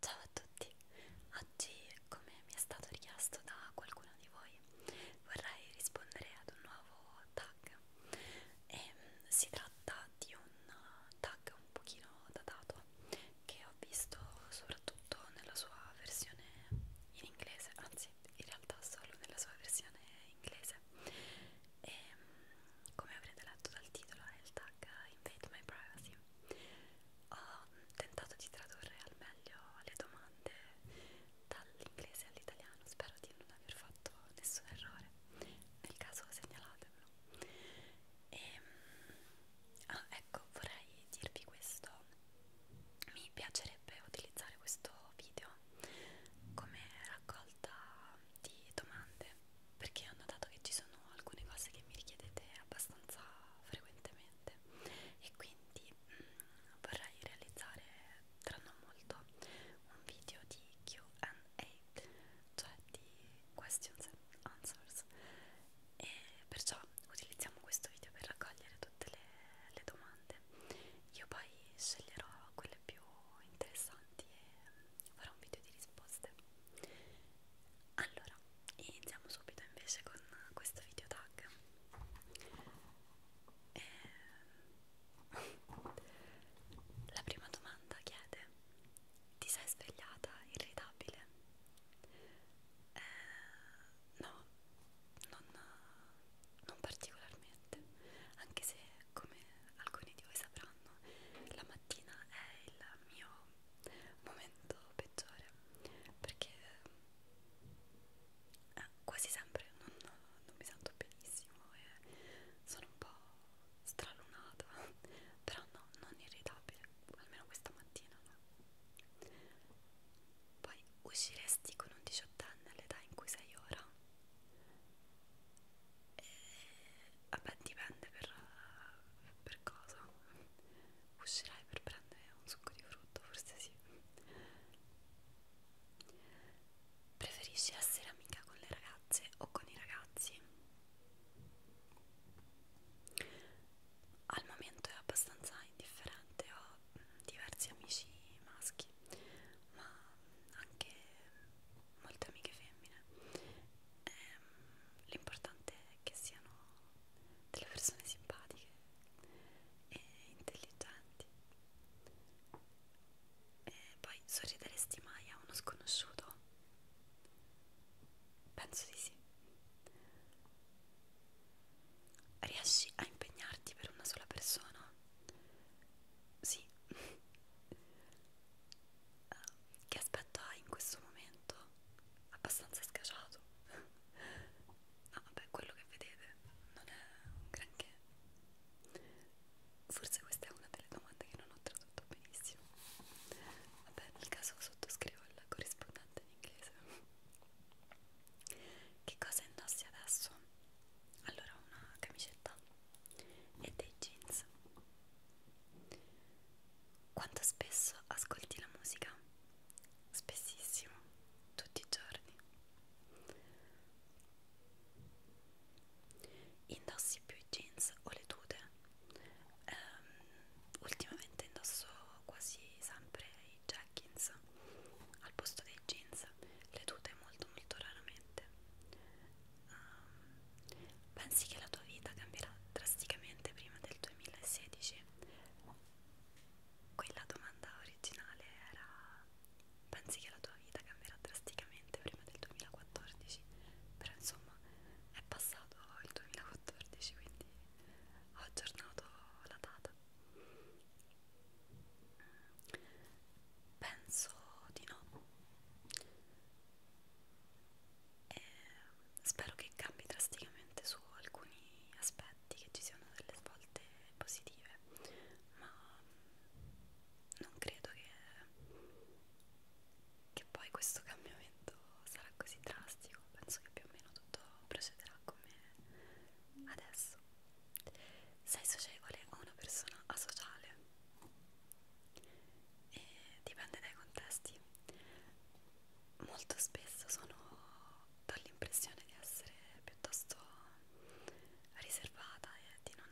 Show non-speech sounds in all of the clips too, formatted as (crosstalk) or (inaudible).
Ciao a tutti, oggi come mi è stato richiesto da qualcuno di voi vorrei rispondere ad un nuovo tag e ehm, si tratta di un tag un pochino datato che ho visto soprattutto nella sua versione in inglese, anzi in realtà solo nella sua versione inglese e ehm, come avrete letto dal titolo è il tag Invade My Privacy ho tentato di tradurre al meglio le domande dall'inglese all'italiano spero di non aver fatto nessun errore nel caso segnalatemelo e, ehm, ah, ecco vorrei dirvi questo mi piacerebbe utilizzare questo video come raccolta di domande perché ho notato che ci sono alcune cose che mi richiedete abbastanza frequentemente e quindi mh, mm, vorrei realizzare tra non molto un video di QA, cioè di questions and answers e perciò utilizziamo questo video per raccogliere tutte le, le domande io poi sceglierò quelle sempre più interessanti e farò un video di risposte allora iniziamo subito invece con questo video tag e... Ehm, la prima domanda chiede ti sei svegliata irritabile? Eh, no non, non particolarmente anche se come alcuni di voi sapranno, la mattina è il mio momento peggiore perché eh, quasi sempre non, non mi sento benissimo e sono un po' stralunata, (laughs) però no, non irritabile, almeno questa mattina no. Poi usciresti con un diciottenne all'età in cui sei ora? e, eh, vabbè dipende per, per cosa uscirai per prendere un succo di frutto forse sì preferisci essere amica con le ragazze o con i ragazzi al momento è abbastanza indifferente ho diversi amici maschi ma anche molte amiche femmine. Ehm, l'importante è che siano delle persone simpatiche e intelligenti. E poi sorrideresti mai a uno sconosciuto? Penso di sì. Riesci a impegnarti per una sola persona? Sì. Che aspetto hai in questo momento? Abbastanza scaciato. No, vabbè, quello che vedete non è un granché. Forse questa è una delle domande che non ho tradotto benissimo. Vabbè, nel caso sottoscrivo il corrispondente in inglese. Che cosa indossi adesso? allora una camicetta e dei jeans quanto spesso ascolti la musica? spessissimo tutti i giorni indossi più i jeans o le tute um, ultimamente indosso quasi sempre i jeggings al posto dei jeans le tute molto molto raramente um, pensi che la tua vita cambierà drasticamente prima del 2016? quella domanda originale era pensi che la tua vita cambierà drasticamente prima del 2014? però insomma è passato il 2014 quindi ho aggiornato la data Penso di no. E spero che cambi drasticamente su alcuni aspetti, che ci siano delle svolte positive, ma non credo che, che poi questo cambiamento sarà così drastico. Penso che più o meno tutto procederà come adesso. Sei socievole o una persona asociale? E dipende dai contesti. Molto spesso sono dall'impressione di essere piuttosto riservata e di non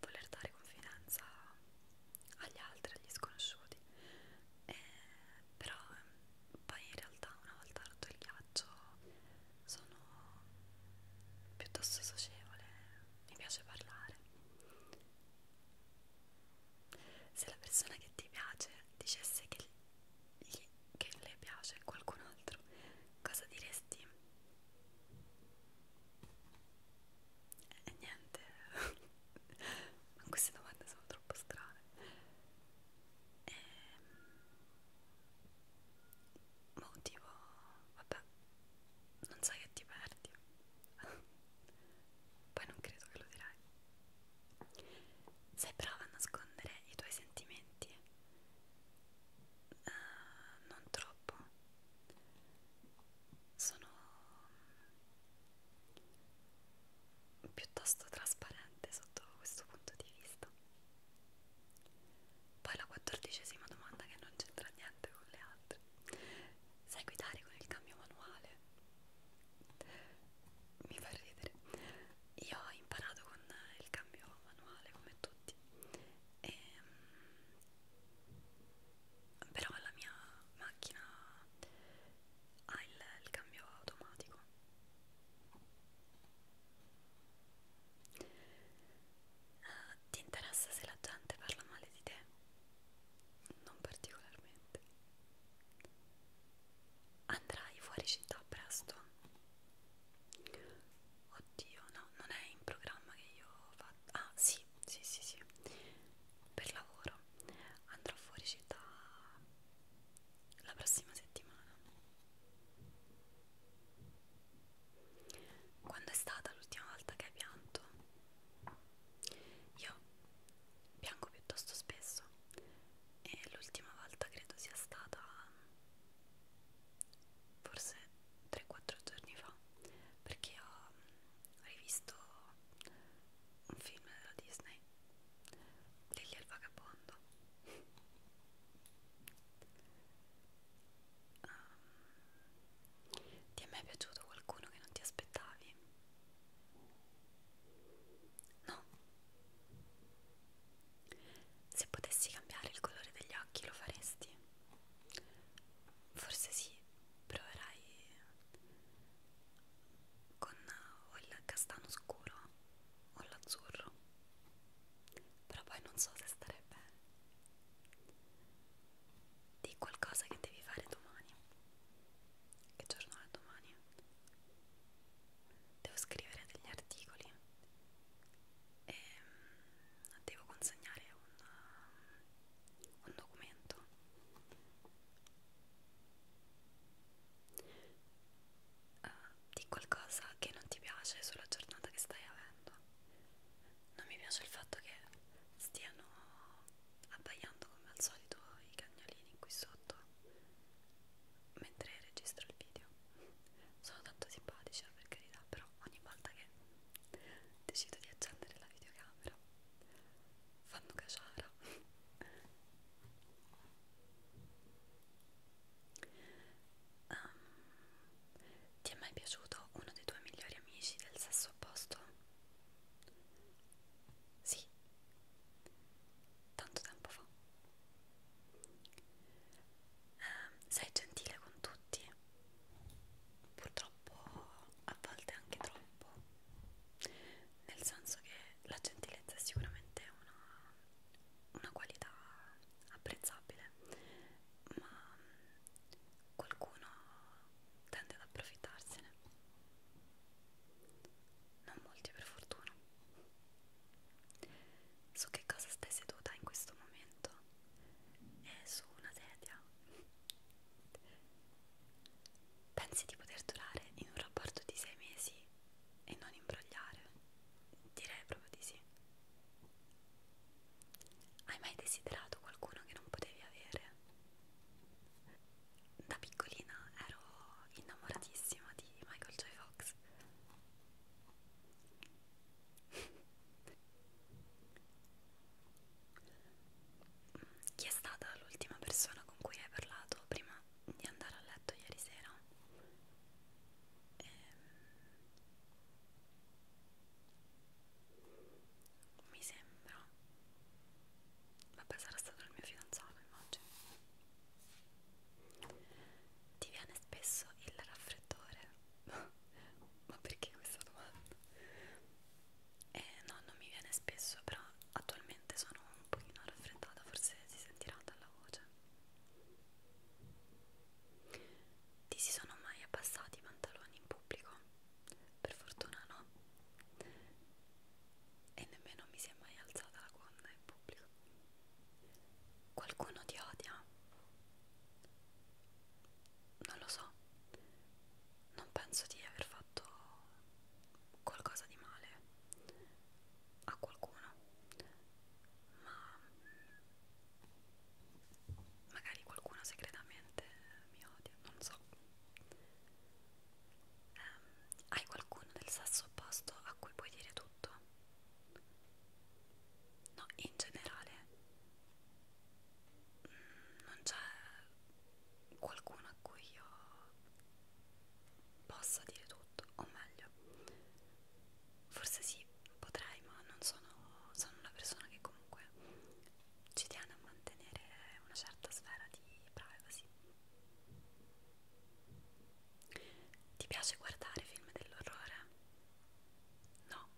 voler dare confidenza agli altri, agli sconosciuti. E però poi in realtà una volta rotto il ghiaccio faccio sono piuttosto socievole, mi piace parlare. Se la persona che ti piace dicesse che, gli, che le piace qualcun altro, cosa diresti? E eh, niente, ma (laughs) queste domande sono troppo strane. E, ehm, motivo vabbè non sai che ti perdi (laughs) poi non credo che lo dirai sei brava a nascondere i tuoi sentimenti uh, non troppo sono piuttosto trasparente sotto questo punto di vista poi la quattordicesima domanda che non c'entra niente con le altre. Sai guidare con il cambio manuale? Mi fa ridere. Io ho imparato con il cambio manuale come tutti. E, ehm, però la mia macchina ha il, il cambio automatico Uh, ti interessa se la gente parla male di te? Non particolarmente. Andrai fuori città presto? Oddio, no, non è in programma che io faccio. Ah, sì, sì, sì, sì. Per lavoro andrò fuori città la prossima settimana. Quando è stata l'ultima volta che hai pianto? Io piango piuttosto spesso e l'ultima volta credo sia stata forse 3-4 giorni fa perché ho mm, rivisto un film della Disney Lily e il vagabondo Um, ti è mai piaciuto qualcuno che non ti aspettavi? No. Se potessi cambiare il colore degli occhi lo faresti? Forse sì, proverai con o il castano scuro o l'azzurro però poi non so se stare bene di qualcosa che devi fare domani che giorno è domani? devo scrivere degli articoli e ehm, devo consegnare un, um, un documento uh, di qualcosa che non ti piace sulla giornata che stai avendo. Non mi piace il fatto che stiano abbaiando come al solito i cagnolini qui sotto mentre registro il video. Sono tanto simpatici eh, per carità, però ogni volta che decido di accendere la videocamera fanno caciara Um, ti è mai piaciuto uno dei tuoi migliori amici del sesso opposto? Sì, tanto tempo fa. Um, sei gentile con tutti, purtroppo a volte anche troppo, nel senso che la gentilezza è sicuramente una una qualità apprezzabile, ma qualcuno tende ad approfittarsene. Non molti per fortuna. Su che cosa stai seduta in questo momento? È su una sedia. Pensi di poter durare in un rapporto di sei mesi e non imbrogliare? Direi proprio di sì. Hai mai desiderato qualcuno che non potevi avere? Da piccolina ero innamoratissima di Michael J. Fox. (laughs) Chi è stata l'ultima persona con cui hai parlato prima di andare a letto ieri sera e, ehm, mi sembra vabbè sarà stato il mio fidanzato immagino ti viene spesso il raffreddore (laughs) ma perché questa domanda? Eh, no non mi viene spesso però attualmente sono un pochino raffreddata, forse si sentirà dalla voce. Ti si sono mai abbassati i pantaloni in pubblico? Per fortuna no. E nemmeno mi si è mai alzata la gonna in pubblico. Qualcuno ti odia? Non lo so. Non penso di aver fatto qualcosa di male a qualcuno ma magari qualcuno segretamente mi odia non so um, hai qualcuno del sesso opposto a cui puoi dire tutto no in generale mm, non c'è qualcuno a cui io possa dire tutto, o meglio, forse sì, potrei, ma non sono, sono una persona che comunque ci tiene a mantenere una certa sfera di privacy. Ti piace guardare film dell'orrore? No,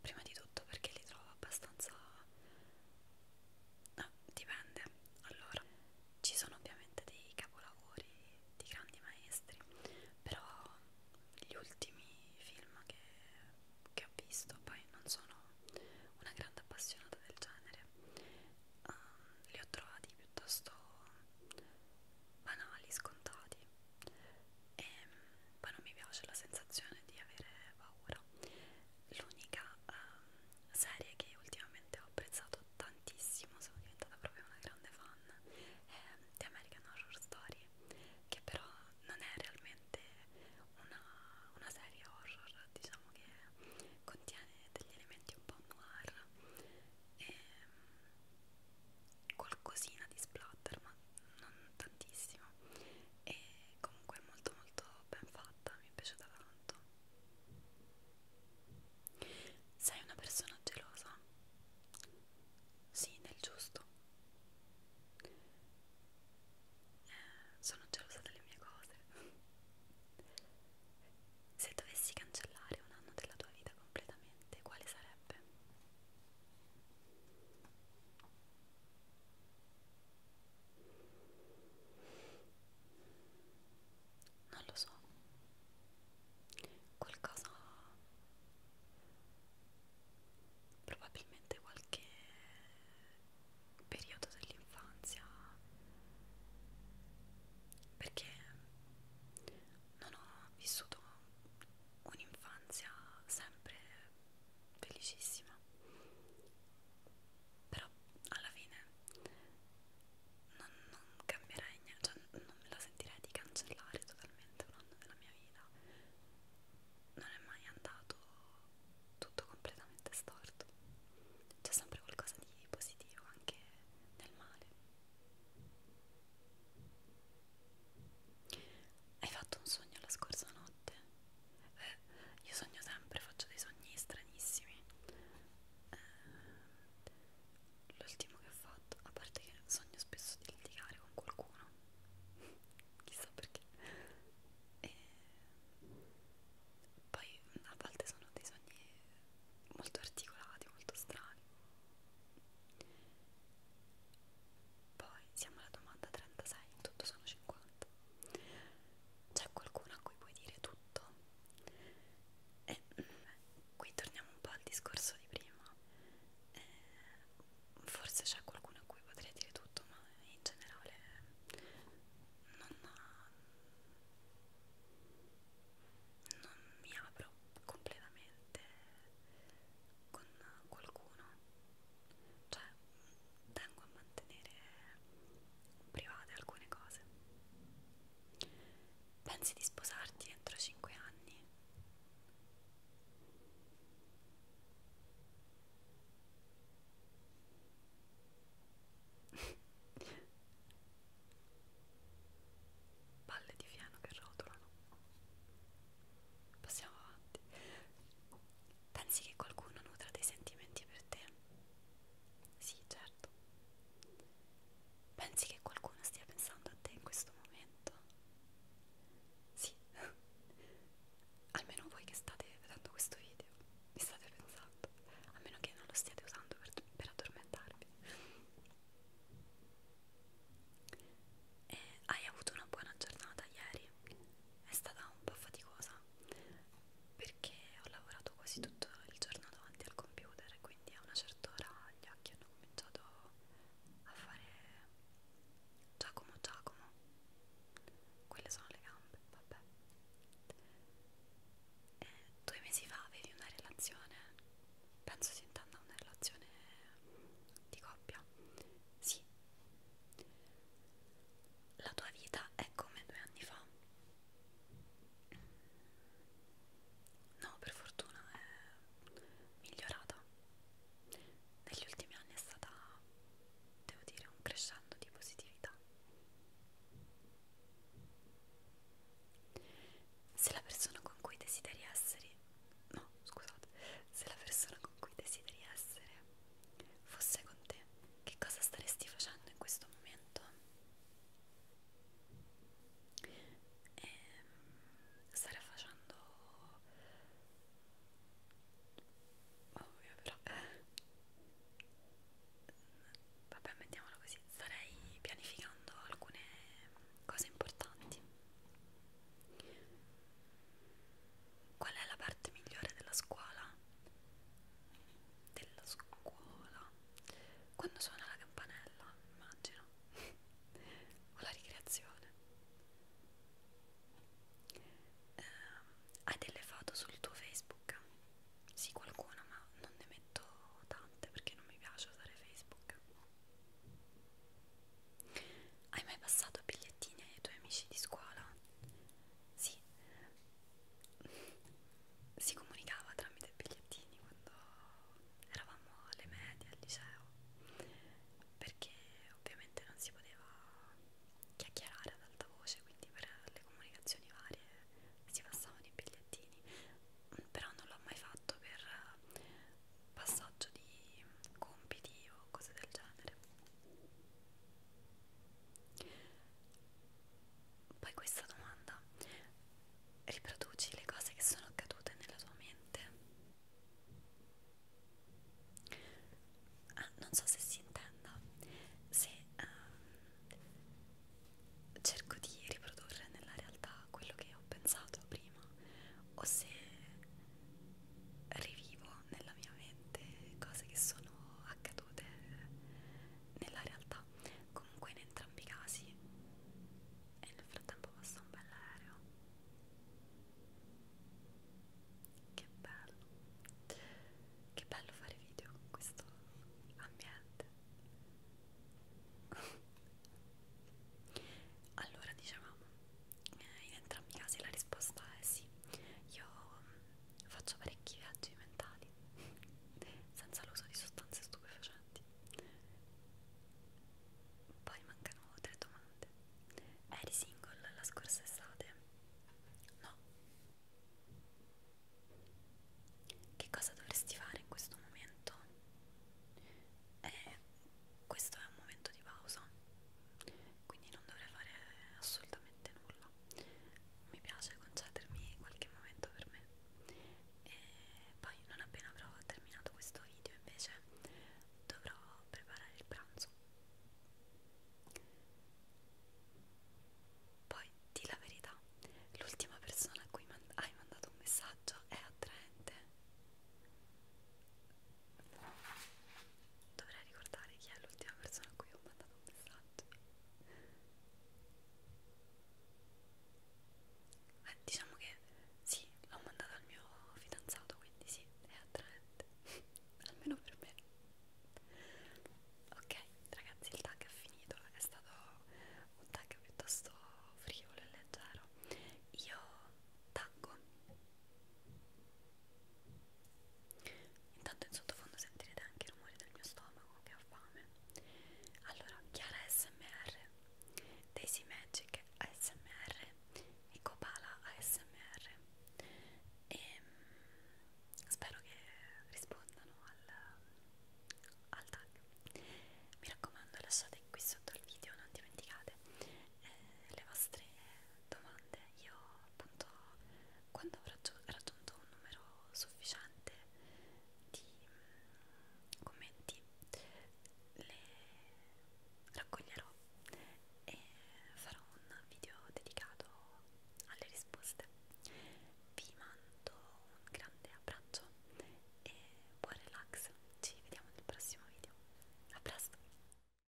prima di tutto perché li trovo abbastanza Ah, dipende. Allora, ci sono ovviamente dei capolavori di grandi maestri, però gli ultimi film che, che ho visto, poi non sono una grande appassionata del genere, um, li ho trovati piuttosto banali, scontati e ehm, poi non mi piace la sensazione di avere paura l'unica um, serie che ultimamente ho apprezzato tantissimo, sono diventata proprio una grande fan, è The American Horror Story, che però non è realmente una, una serie horror, diciamo che contiene degli elementi un po' noir e ehm, qualcosina di splatter, ma non tantissimo, e comunque è molto molto ben fatta, mi è piaciuta tanto sei una persona gelosa? Sì, nel giusto. Eh, sono gelosa delle mie cose. Se dovessi cancellare un anno della tua vita completamente, quale sarebbe? non lo so qualcosa probabilmente qualche periodo dell'infanzia perché non ho vissuto un'infanzia sempre felicissima però alla fine non, non cambierei niente, cioè non me la sentirei di cancellare totalmente un anno della mia vita non è mai andato tutto completamente storto c'è sempre qualcosa di positivo anche nel male hai fatto un sogno la scorsa notte? io sogno sempre, faccio dei sogni stranissimi. Eh, L'ultimo che ho fatto, a parte che sogno spesso di litigare con qualcuno, (laughs) chissà perché. E ehm, poi a volte sono dei sogni molto articolati, molto strani. Poi siamo alla domanda 36, tutto sono 50. C'è qualcuno a cui puoi dire tutto? E eh, qui torniamo un po' al discorso di prima. E, eh, forse c'è qualcuno a cui potrei dire tutto, ma in generale non, non mi apro completamente con qualcuno. Cioè, tengo a mantenere private alcune cose. Pensi di sposarti entro 5 anni? (laughs) Palle di fieno che rotolano. Passiamo avanti. Pensi che qualcuno nutra dei sentimenti per te? Sì, certo. Pensi che qualcuno stia pensando a te in questo momento? Sì. (laughs) Almeno voi che state vedendo questo video, mi state pensando. A meno che non lo stiate usando per, per addormentarvi. E eh, hai avuto una buona giornata ieri? È stata un po' faticosa perché ho lavorato quasi tutto il giorno davanti al computer e quindi a una certa ora gli occhi hanno cominciato a fare Giacomo Giacomo quelle sono le gambe, vabbè e due mesi fa avevi una relazione penso si intenda una relazione di coppia sì la tua vita è come due anni fa? No, per fortuna è migliorata. Negli ultimi anni è stata, devo dire, un crescendo di positività. Se la persona con cui desideri essere, no, scusate, se la persona con cui desideri essere fosse con te, che cosa staresti facendo in questo momento? E ehm, starei facendo... ovvio però... Vabbè, mettiamolo così, starei pianificando alcune cose importanti Qual è la parte migliore della scuola? Della scuola? Quando suona la campanella, immagino. (laughs) o la ricreazione. Eh, hai delle foto sul tuo Facebook? Sì, qualcuna, ma non ne metto tante perché non mi piace usare Facebook. Hai mai passato bigliettini ai tuoi amici di scuola? Sì, si comunicava tramite bigliettini quando eravamo alle medie, al liceo, perché ovviamente non si poteva chiacchierare ad alta voce, quindi per le comunicazioni varie si passavano i bigliettini, però non l'ho mai fatto per passaggio di compiti o cose del genere. Poi questa domanda, riproduci le cose che sono accadute nella tua mente? Ah, non so se si intenda, se um, cerco di riprodurre nella realtà quello che ho pensato prima o se rivivo nella mia mente cose che sono accadute nella realtà. Comunque in entrambi i casi e nel frattempo passa un bel aereo. Che bello. Che bello fare video con questo ambiente. allora dicevamo eh, in entrambi i casi la risposta è sì. Io Faccio parecchi viaggi mentali (laughs) senza l'uso di sostanze stupefacenti. Poi mancano tre domande. Eri single la scorsa estate? No. Che cosa dovresti fare in questo momento? Eh, questo è un momento di pausa quindi non dovrei fare assolutamente nulla mi piace concedermi qualche momento per me e poi non appena avrò terminato questo video invece dovrò preparare il pranzo poi di la verità l'ultima persona a cui man hai mandato un messaggio è attraente Dovrei ricordare chi è l'ultima persona a cui ho mandato un messaggio. Beh, diciamo che sì, l'ho mandato al mio fidanzato, quindi sì, è attraente. (laughs) Almeno per me. Ok, ragazzi, il tag è finito. È stato un tag piuttosto frivolo e leggero. Io taggo Intanto in sottofondo sentirete anche i rumori del mio stomaco che ho fame. Allora, Chiara ASMR, Daisy Magic ASMR e Copala ASMR. E ehm, mh, spero che rispondano al, al tag. Mi raccomando, lasciate qui sotto il video, non dimenticate eh, le vostre domande io appunto quando avrò raggiunto un numero sufficiente di mm, commenti le raccoglierò e farò un video dedicato alle risposte vi mando un grande abbraccio e buon relax ci vediamo nel prossimo video a presto